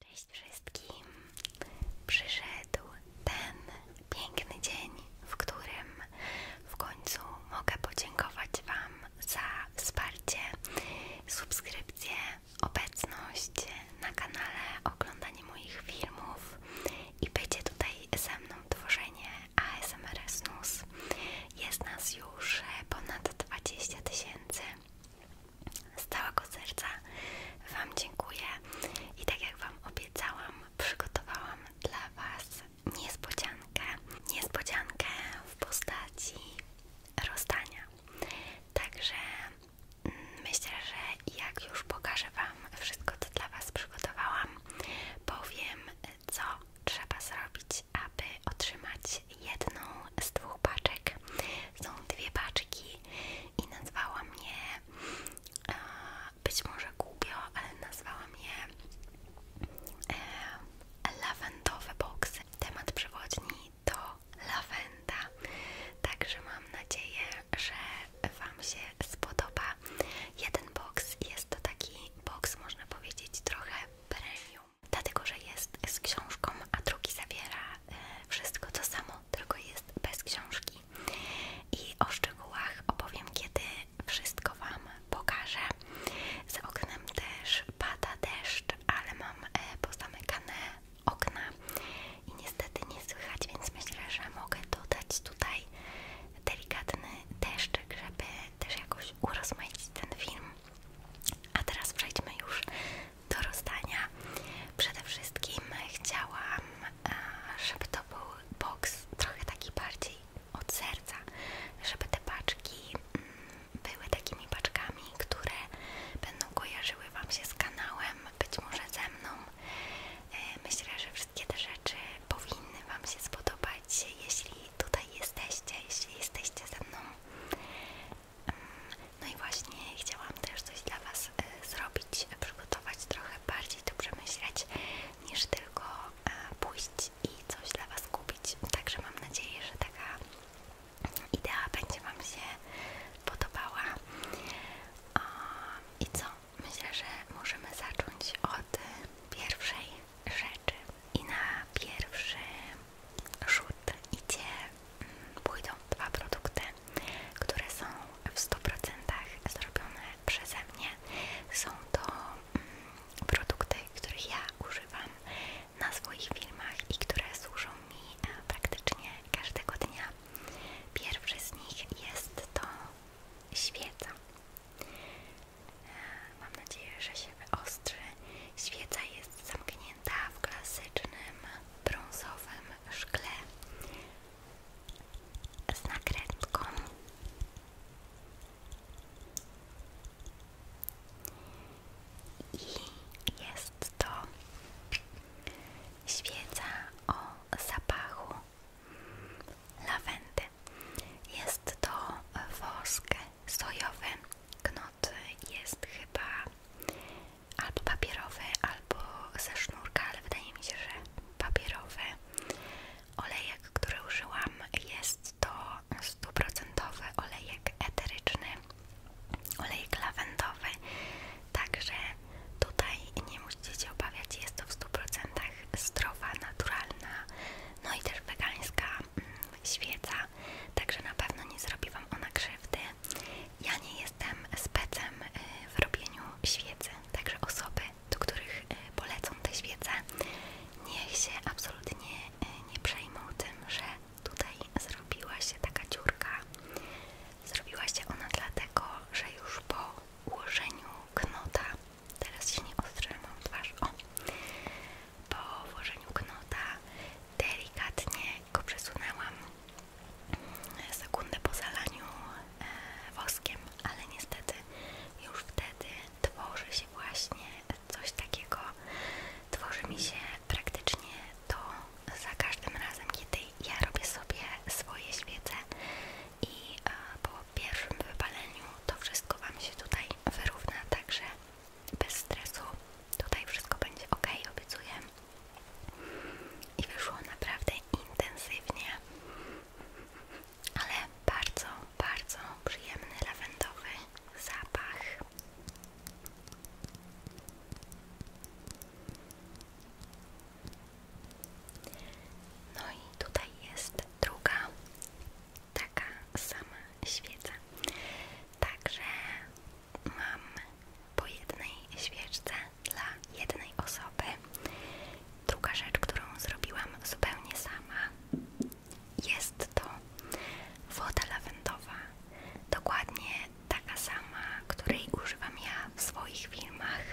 Cześć wszystkim! Przyszedł ten piękny dzień, w którym w końcu mogę podziękować Wam za wsparcie, subskrypcję, obecność na kanale, oglądanie moich filmów i bycie tutaj ze mną tworzenie ASMR Snus. Jest nas już ponad 20 tysięcy. Z całego serca Wam dziękuję i tak jak Wam obiecałam, przygotowałam dla Was niespodziankę. Niespodziankę w postaci rozdania. Także mm, myślę, że jak już pokażę Wam wszystko, co dla Was przygotowałam, powiem, co trzeba zrobić, aby otrzymać jedną z dwóch paczek. Są dwie paczki i nazwałam je, e, być może głupio, ale nazwałam je lawendowy box. Temat przewodni to lawenda, także mam nadzieję, że Wam się spodoba. Jeden box jest to taki boks, można powiedzieć, trochę premium, dlatego że jest z książką, a drugi zawiera e, wszystko to samo domu, tylko jest bez książki. I o szczegółach opowiem, kiedy wszystko Wam pokażę. Z oknem też pada deszcz, ale mam e, pozamykane okna i niestety nie słychać, więc myślę, że mogę dodać tutaj delikatny deszczyk, żeby też jakoś urozmaicić ten film. A teraz przejdźmy już do rozdania. Przede wszystkim chciałam, e, żeby to był box trochę taki bardziej od serca, żeby te paczki mm, były takimi paczkami, które będą kojarzyły Wam się z kanałem, być może ze mną. E, myślę, że wszystkie te rzeczy powinny Wam się spodobać, jeśli tutaj jesteście, jeśli jesteście ze mną. No i właśnie chciałam też coś dla Was e, zrobić, przygotować trochę bardziej to przemyśleć niż tylko e, pójść i coś dla Was kupić. Także mam nadzieję, że taka idea będzie Wam się podobała. I co? Myślę, że możemy zacząć od pierwszej rzeczy. I na pierwszy rzut idzie pójdą dwa produkty, które są w 100% zrobione przeze mnie. Są to mm, produkty, których ja używam na swoich filmach i które służą mi e, praktycznie każdego dnia. Pierwszy z nich jest to świeca. E, mam nadzieję, że się wyostrzy. Świeca jest zamknięta w klasycznym brązowym szkle z nakrętką i jest to świeca o zapachu lawendy. Jest to wosk sojowy, jest chyba albo papierowy, albo ze sznurka, ale wydaje mi się, że papierowy. Olejek, który użyłam jest to stuprocentowy olejek eteryczny, olejek lawendowy, także tutaj nie musicie się obawiać, jest to w 100% zdrowa, naturalna, no i też wegańska mm, świeca, także na pewno nie zrobi Wam ona krzywdy. Ja nie jestem specem y, w robieniu świecy, także osoby, do których y, polecą te świece, niech się absolutnie y, nie przejmą tym, że tutaj zrobiła się taka dziurka. Zrobiła się ona dlatego, że już po ułożeniu knota, teraz się nie ostrzę, twarz, o, po włożeniu knota delikatnie lekko przesunęłam sekundę po zalaniu e, woskiem, ale niestety już wtedy tworzy się właśnie coś takiego, tworzy mi się praktycznie to za każdym razem, kiedy ja robię sobie swoje świece i e, po pierwszym wypaleniu to wszystko Wam się tutaj wyrówna, także bez stresu Tutaj wszystko będzie ok, obiecuję. I wyszło naprawdę intensywnie, ale bardzo, bardzo przyjemny lawendowy zapach. No i tutaj jest druga, taka sama świeca. Także mam po jednej świeczce dla jednej osoby. Druga rzecz, którą zrobiłam zupełnie sama, jest to woda lawendowa. Dokładnie taka sama, której używam ja w swoich filmach,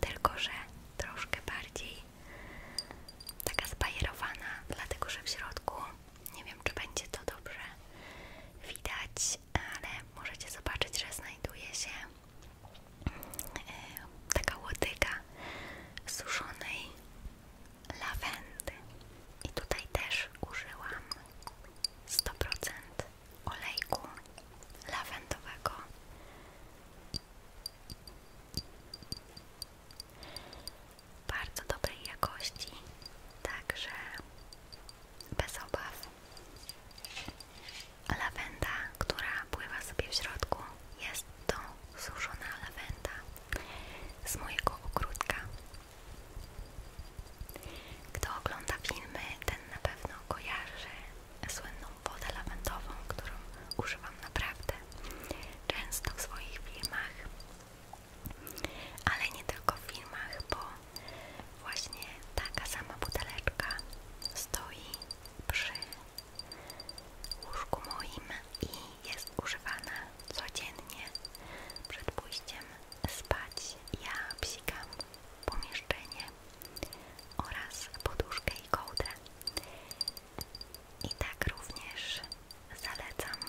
tylko że troszkę bardziej taka zbajerowana, dlatego że w środku nie wiem, czy będzie to dobrze widać, ale możecie zobaczyć, że znajduje się e, taka łodyga suszonej lawendy i tutaj też użyłam 100% olejku lawendowego bardzo dobrej jakości, także bez obaw. Lawenda, która pływa sobie w środku, jest to suszona lawenda z mojego ogródka. Kto ogląda filmy, ten na pewno kojarzy słynną wodę lawendową, którą używam naprawdę często w swoich filmach. Ale nie tylko w filmach, bo właśnie taka sama buteleczka stoi przy łóżku moim i jest używana codziennie przed pójściem spać. Ja psikam pomieszczenie oraz poduszkę i kołdrę. I tak również zalecam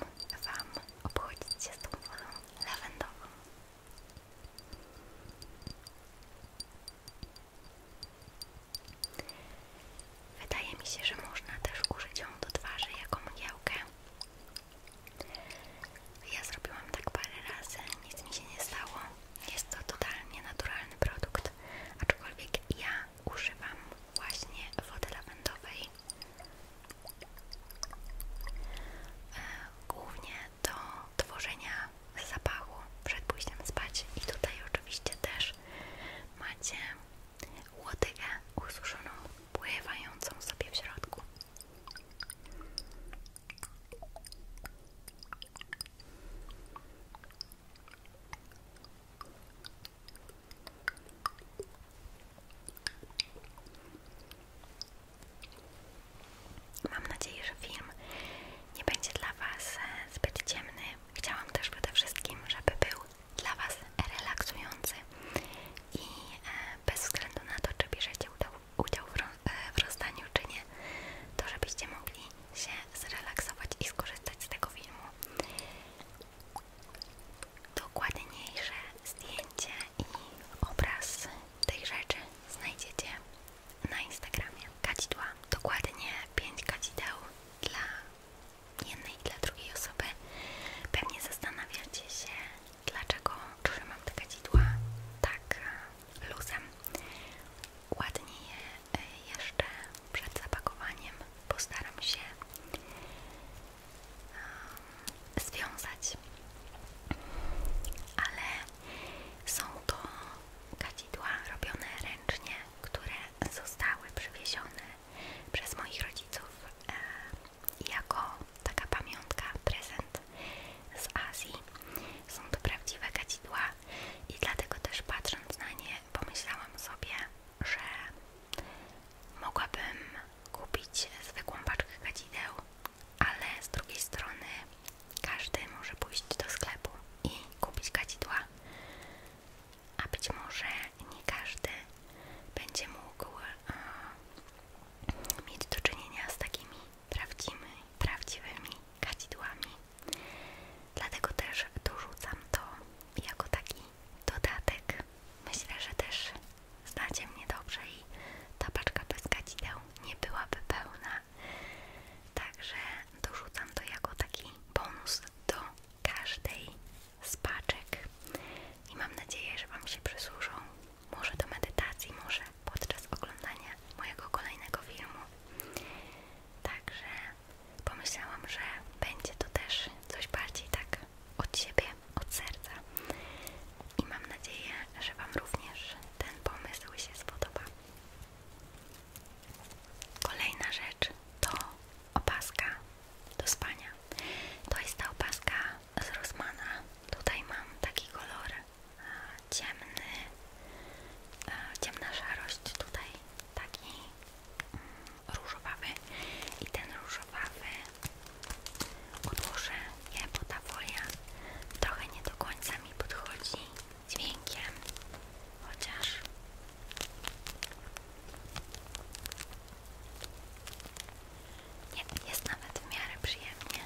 Wam obchodzić się z tą wodą lawendową. Wydaje mi się, że można też użyć ją do twarzy jako mgiełkę. Ja zrobiłam tak parę razy, nic mi się nie stało. Jest to totalnie naturalny produkt, aczkolwiek ja używam właśnie wody lawendowej E, głównie do tworzenia zapachu przed pójściem spać i tutaj oczywiście też macie łodygę ususzoną, pływającą sobie w środku. Mam nadzieję, że film nie będzie dla Was zbyt ciemny. Chciałam też przede wszystkim, żeby był dla Was relaksujący i e, bez względu na to, czy bierzecie udział e, w rozdaniu, czy nie, to żebyście mogli się zrelaksować i skorzystać z tego filmu. Dokładniejsze zdjęcie i obraz tych rzeczy znajdziecie na Instagramie kadzidła, dokładnie 5 kadzideł dla jednej i dla drugiej osoby. Pewnie zastanawiacie się, dlaczego trzymam te kadzidła tak e, luzem. Ładnie je e, jeszcze przed zapakowaniem postaram się związać. Ale są to kadzidła robione ręcznie, które zostały przywiezione przez moich rodziców e, jako taka pamiątka, prezent z Azji. Są to prawdziwe kadzidła i dlatego też patrząc na nie pomyślałam sobie, że mogłabym kupić zwykłą paczkę kadzideł ale z drugiej strony każdy może pójść do sklepu i kupić kadzidła, a być może nie każdy będzie mógł e, mieć do czynienia z takimi prawdziwymi, prawdziwymi kadzidłami. Dlatego też dorzucam to jako taki dodatek. Myślę, że też Znacie mnie dobrze i ta paczka pyskacideł nie byłaby pełna. Także dorzucam to jako taki bonus do każdej z paczek. I mam nadzieję, że Wam się przysłużą. Może do medytacji, może podczas oglądania mojego kolejnego filmu. Także pomyślałam, że będzie to też coś bardziej tak od siebie od serca i mam nadzieję, że Wam również ten pomysł się spodoba. Kolejna rzecz to opaska do spania. To jest ta opaska z Rossmana. Tutaj mam taki kolor e, ciemny, e, ciemna szarość, tutaj taki mm, różowawy i ten różowawy Odłożę je, bo trochę nie do końca mi podchodzi dźwiękiem, chociaż. Nie, jest nawet w miarę przyjemnie.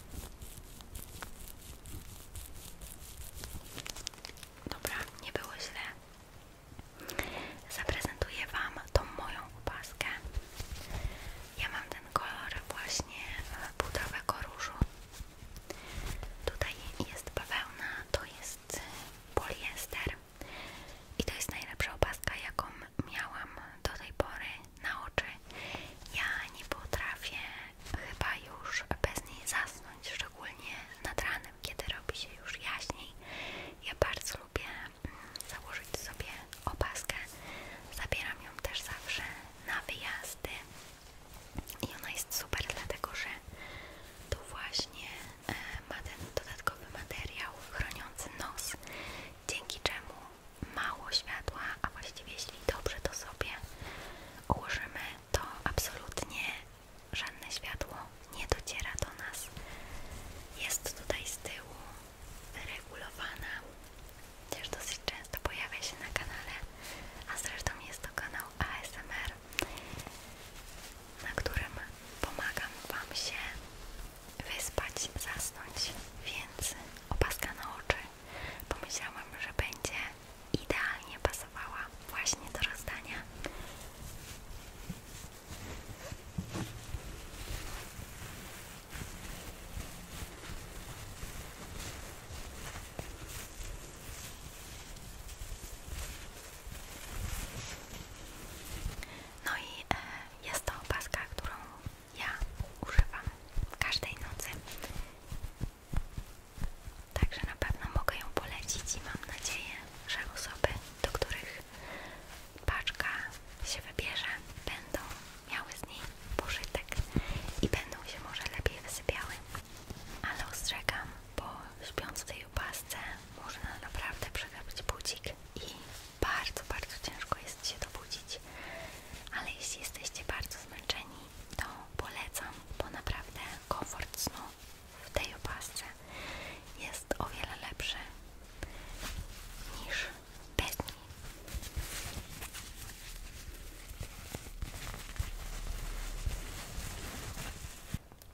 Dobra, nie było źle. Zaprezentuję Wam tą moją opaskę. Ja mam ten kolor właśnie e, pudrowego różu. Tutaj jest bawełna, to jest poliester. I to jest najlepsza opaska, jaką miałam do tej pory na oczy. Ja nie potrafię chyba już bez niej zasnąć, szczególnie nad ranem, kiedy robi się już jaśniej. Ja bardzo lubię mm, założyć sobie opaskę. Zabieram ją też zawsze na wyjazdy. I ona jest super, dlatego że to właśnie e, ma ten dodatkowy materiał chroniący nos, dzięki czemu mało światła, a właściwie jeśli dobrze to sobie ułożymy, to absolutnie żadne światło nie dociera do nas. Jest tutaj z tyłu regulowana, też dosyć często pojawia się na kanale, a zresztą jest to kanał ASMR, na którym pomagam Wam się wyspać, zasnąć, więc opaska na oczy pomyślałam, że będzie idealnie pasowała właśnie do rozdania. No i e, jest to opaska, którą ja używam każdej nocy Także na pewno mogę ją polecić i mam nadzieję, że osoby, do których paczka się wybierze, będą miały z niej pożytek i będą się może lepiej wysypiały. Ale ostrzegam, bo śpiąc w tej opasce można naprawdę przegrać budzik i bardzo, bardzo ciężko jest się to budzić, Ale jeśli jesteście bardzo zmęczeni to polecam, bo naprawdę komfort snu w tej opasce jest o wiele lepszy niż bez niej.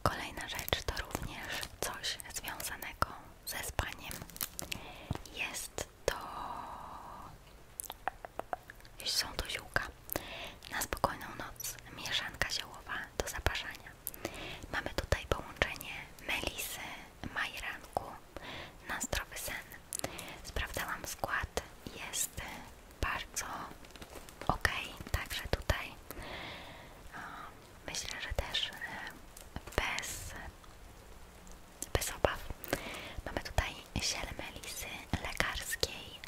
Kolejna rzecz to również coś związanego ze spaniem. Jest to jeśli są to ziółka. Na spokojną noc mieszanka ziołowa do zaparzania. Mamy tutaj połączenie melisy, majranku na zdrowy sen. Sprawdzałam skład, jest bardzo ok, także tutaj myślę, że też e, bez, bez obaw. Mamy tutaj ziel melisy lekarskiej,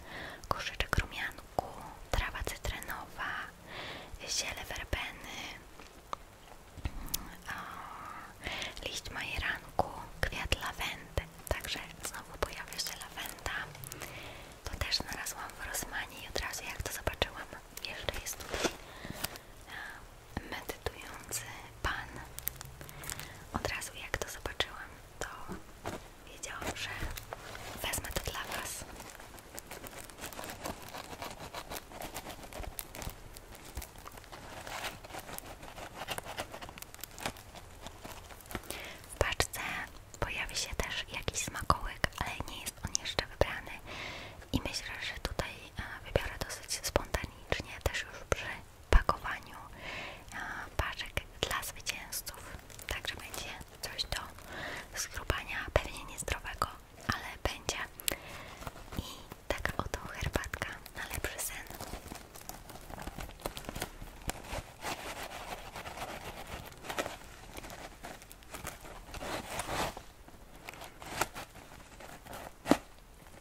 korzyczek rumianku, trawa cytrynowa, ziele verbeny, liść majeranku, kwiat lawendy. Także znowu pojawia się lawenda. To też znalazłam w Rosmanie i od razu jak to zobaczyłam, jeszcze jest tutaj medytujący pan. Od razu jak to zobaczyłam, to wiedziałam, że wezmę to dla Was. W paczce pojawi się też jakiś smakołyk, ale nie jest on jeszcze wybrany i myślę, że tutaj e, wybiorę dosyć spontanicznie, też już przy pakowaniu paczek dla zwycięzców. Także będzie coś do skrubania, pewnie nie zdrowego, ale będzie. I taka oto herbatka na lepszy sen.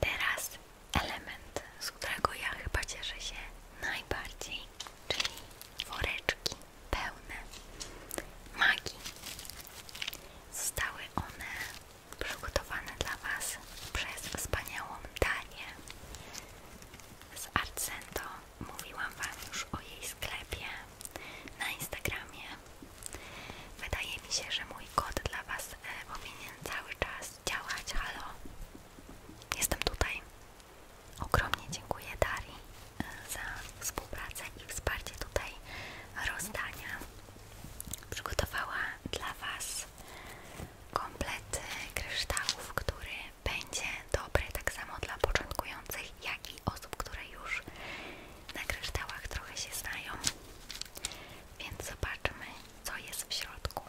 Teraz element, z którego ja chyba cieszę się najbardziej, czyli woreczki pełne magii. Zostały one przygotowany dla Was przez wspaniałą Danię z Arcento. Mówiłam Wam już o jej sklepie na Instagramie. Wydaje mi się, że mój kod dla Was e, powinien cały czas działać. Halo, jestem tutaj. Ogromnie dziękuję Dari e, za współpracę i wsparcie tutaj rozdania przygotowała dla Was komplet kryształów, który będzie dobry tak samo dla początkujących, jak i osób, które już na kryształach trochę się znają. Więc zobaczmy, co jest w środku.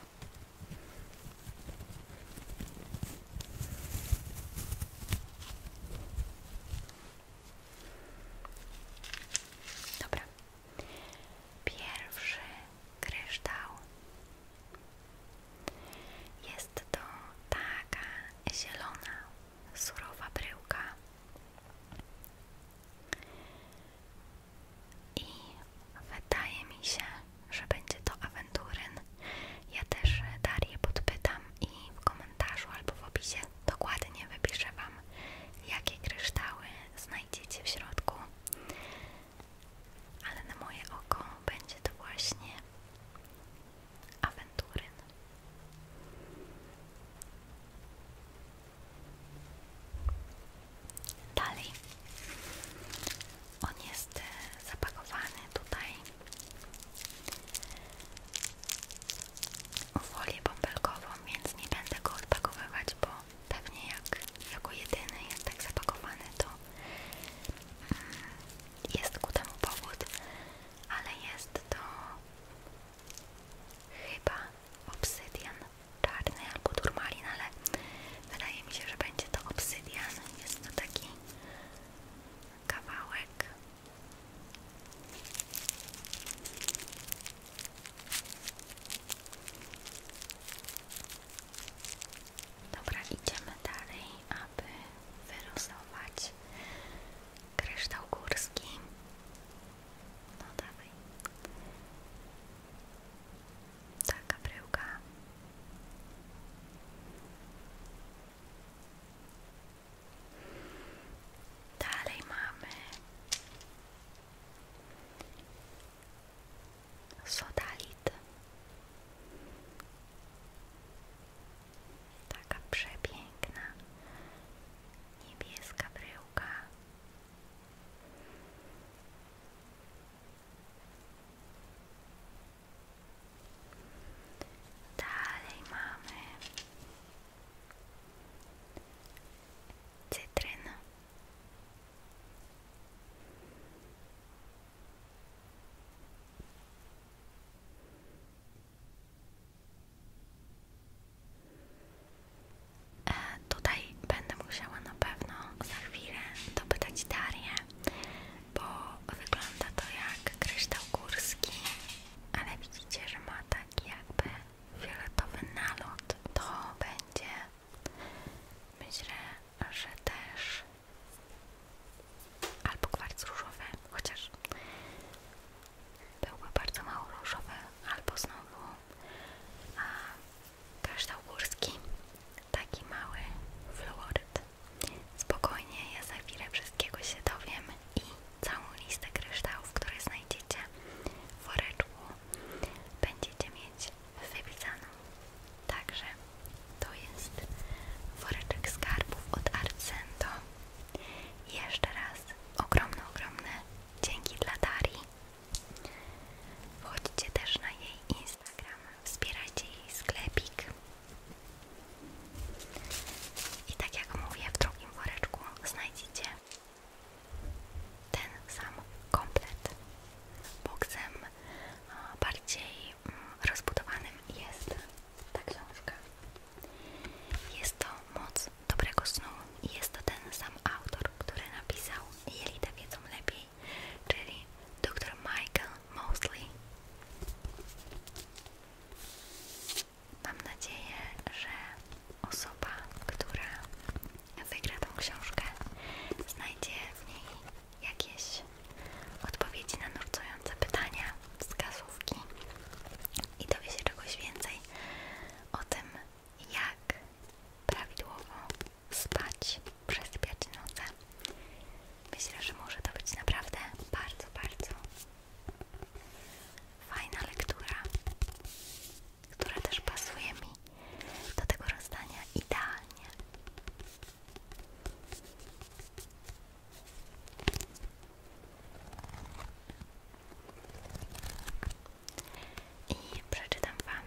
Dobra. Pierwszy kryształ. Jest to taka zielona, surowa bryłka. I wydaje mi się, że będzie to awenturyn. Ja też Darię podpytam i w komentarzu albo w opisie dokładnie wypiszę Wam, jakie kryształy znajdziecie w środku, ale na moje oko będzie to właśnie awenturyn. Dalej, on jest e, zapakowany tutaj o folię bąbelkową, więc nie będę go odpakowywać, bo pewnie jak jako jedyny jest tak zapakowany, to mm, jest ku temu powód, ale jest to chyba obsydian czarny albo turmalin, ale wydaje mi się, że będzie to obsydian. Jest to taki kawałek Dobra, idziemy dalej, aby wylosować kryształ górski. No dawaj. Taka bryłka. Dalej mamy sodalit. Taka przepiękna niebieska bryłka. Dalej mamy cytryna e, Tutaj będę musiała na pewno za chwilę dopytać Darię, bo wygląda to jak kryształ górski, ale widzicie, że ma tak jakby fioletowy nalot to będzie myślę, że też albo kwarc różowy, chociaż byłby bardzo mało różowy, albo znowu a, górski, taki mały fluoryt. Spokojnie, ja za chwilę wszystkiego się dowiemy i całą listę kryształów, które znajdziecie w woreczku, będziecie mieć wypisaną. Także to jest woreczek skarbów od Arcento. Jeszcze raz ogromne, ogromne dzięki dla Darii. Wchodźcie też na jej Instagram, wspierajcie jej sklepik. I tak jak mówię, w drugim woreczku znajdziecie ten sam komplet. Boksem bardziej mm, rozbudowanym jest ta książka. Jest to Moc dobrego snu i jest to ten sam autor, który napisał Jelita wiedzą lepiej, czyli dr Michael Mosley. Mam nadzieję, że osoba, która wygra tą książkę, znajdzie w niej jakieś odpowiedzi na nurtujące pytania, wskazówki i dowie się czegoś więcej o tym, jak prawidłowo spać, przesypiać noce. Myślę, że może to być naprawdę bardzo, bardzo Fajna lektura, która też pasuje mi do tego rozdania idealnie. I przeczytam Wam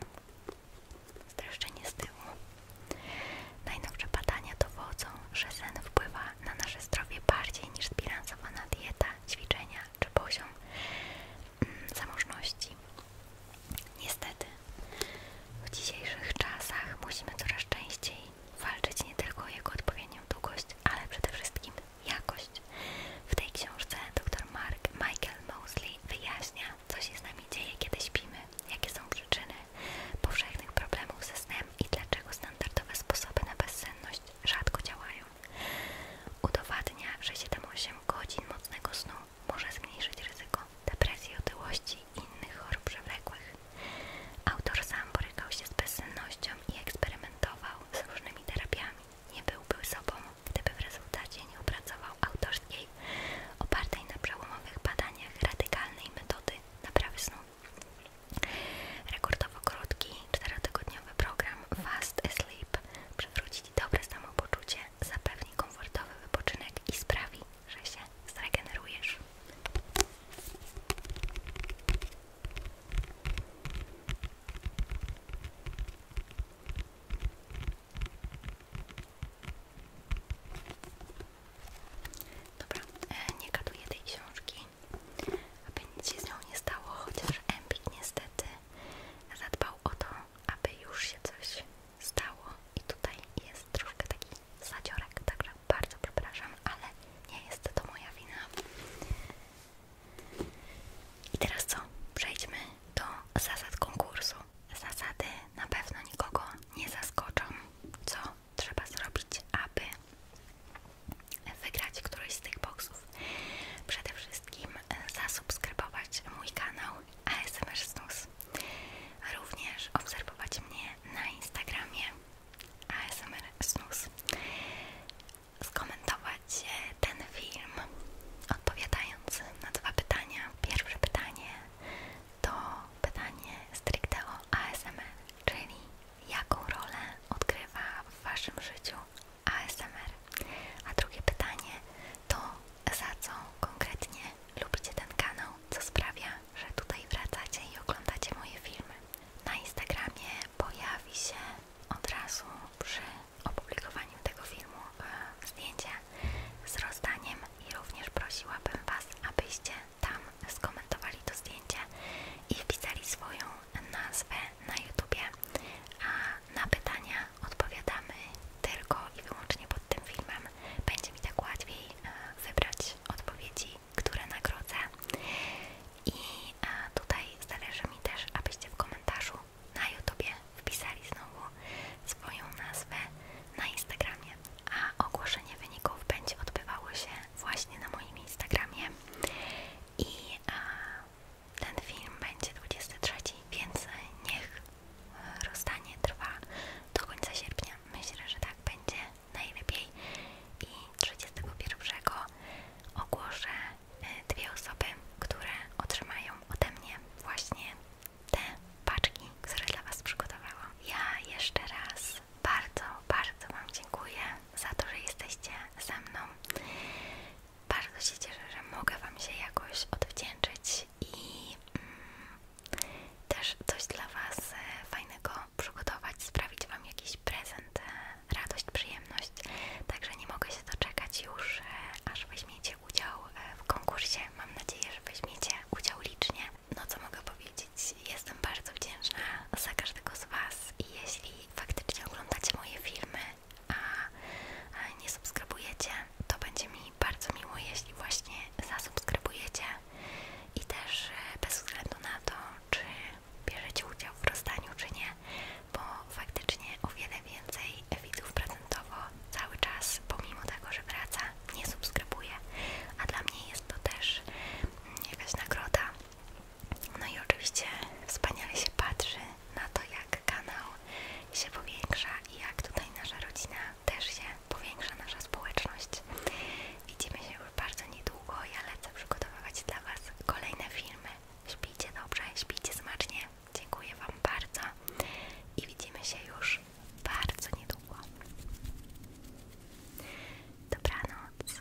streszczenie z tyłu. Najnowsze badania dowodzą, że sen wpływa na nasze zdrowie bardziej niż zbilansowana dieta, ćwiczenia czy poziom mm, zamożności. Niestety, w dzisiejszych czasach musimy coraz częściej walczyć nie tylko o jego odpowiednią długość, ale przede wszystkim jakość. W tej książce dr Mark Michael Mosley wyjaśnia, co się z nami dzieje, kiedy śpimy, jakie są przyczyny powszechnych problemów ze snem i dlaczego standardowe sposoby na bezsenność rzadko działają. Udowadnia, że 7-8 godzin mocnego snu może zmniejszyć ryzyko depresji, otyłości i innych chorób przewlekłych. Autor sam borykał się z bezsennością i eksperymentował z różnymi terapiami. Nie byłby sobą, gdyby w rezultacie nie opracował autorskiej, opartej na przełomowych badaniach radykalnej metody naprawy snu. Rekordowo krótki, 4-tygodniowy program Fast Sleep przywróci Ci dobre samopoczucie, zapewni komfortowy wypoczynek i sprawi, że się zregenerujesz. Dobra, e, nie gaduję tej książki, aby nic się z nią nie stało, chociaż Empik niestety zadbał o to, aby już się coś stało i tutaj jest troszkę taki zadziorek, także bardzo przepraszam, ale nie jest to moja wina. I teraz co? Przejdźmy do zasad konkursu. Zasady na pewno nikogo nie zaskoczą, co trzeba zrobić, aby wygrać któryś z tych boxów. Przede wszystkim e, zasubskrybować mój kanał ASMR Snus. Również obserwować mnie na Instagramie ASMR Snus. Skomentować e, ten film odpowiadając na dwa pytania. Pierwsze pytanie to pytanie stricte o ASMR, czyli jaką rolę odgrywa w Waszym życiu ASMR. A drugie pytanie to za co konkretnie lubicie ten kanał, co sprawia, że tutaj wracacie i oglądacie moje filmy. Na Instagramie pojawi się od razu przy opublikowaniu tego filmu e, zdjęcie z rozdaniem i również prosiłabym Was, abyście tam skomentowali to zdjęcie i wpisali swoją nazwę na YouTubie, a na pytania odpowiadamy tylko i wyłącznie pod tym filmem. Będzie mi tak łatwiej e, wybrać odpowiedzi, które nagrodzę. I e, tutaj zależy mi też, abyście w komentarzu na YouTubie wpisali znowu swoją nazwę na Instagramie, a ogłoszenie wyników będzie odbywało się właśnie na moim Instagramie. I a, e, ten film będzie 23, więc niech e, rozstanie trwa do końca sierpnia. Myślę, że tak będzie najlepiej. I 31 ogłoszę e, dwie osoby, które otrzymają ode mnie właśnie te paczki, które dla Was przygotowałam. Ja jeszcze raz bardzo, bardzo Wam dziękuję za to, że jesteście ze mną. Bardzo się cieszę, że mogę Wam się jakoś odwdzięczyć i mm, też coś dla Was e, fajnego przygotować, sprawić Wam jakiś prezent, e, radość, przyjemność. Także nie mogę się doczekać już, e, aż weźmiecie udział w konkursie. Mam nadzieję, że weźmiecie udział licznie. No co mogę powiedzieć? Jestem bardzo wdzięczna za każdego z Was i jeśli jeśli faktycznie oglądacie moje filmy, a nie subskrybujecie, to będzie mi bardzo miło, jeśli właśnie zasubskrybujecie i też e, bez względu na to, czy bierzecie udział w rozdaniu, czy nie, bo faktycznie o wiele więcej widzów prezentowo cały czas, pomimo tego, że wraca, nie subskrybuje, a dla mnie jest to też mm, jakaś nagroda no i oczywiście wspaniale się patrzy na to, jak kanał się powiększa i jak tutaj nasza rodzina też się powiększa, nasza społeczność. Widzimy się już bardzo niedługo. Ja lecę przygotowywać dla Was kolejne filmy. Śpijcie dobrze, śpijcie smacznie. Dziękuję Wam bardzo i widzimy się już bardzo niedługo. Dobranoc.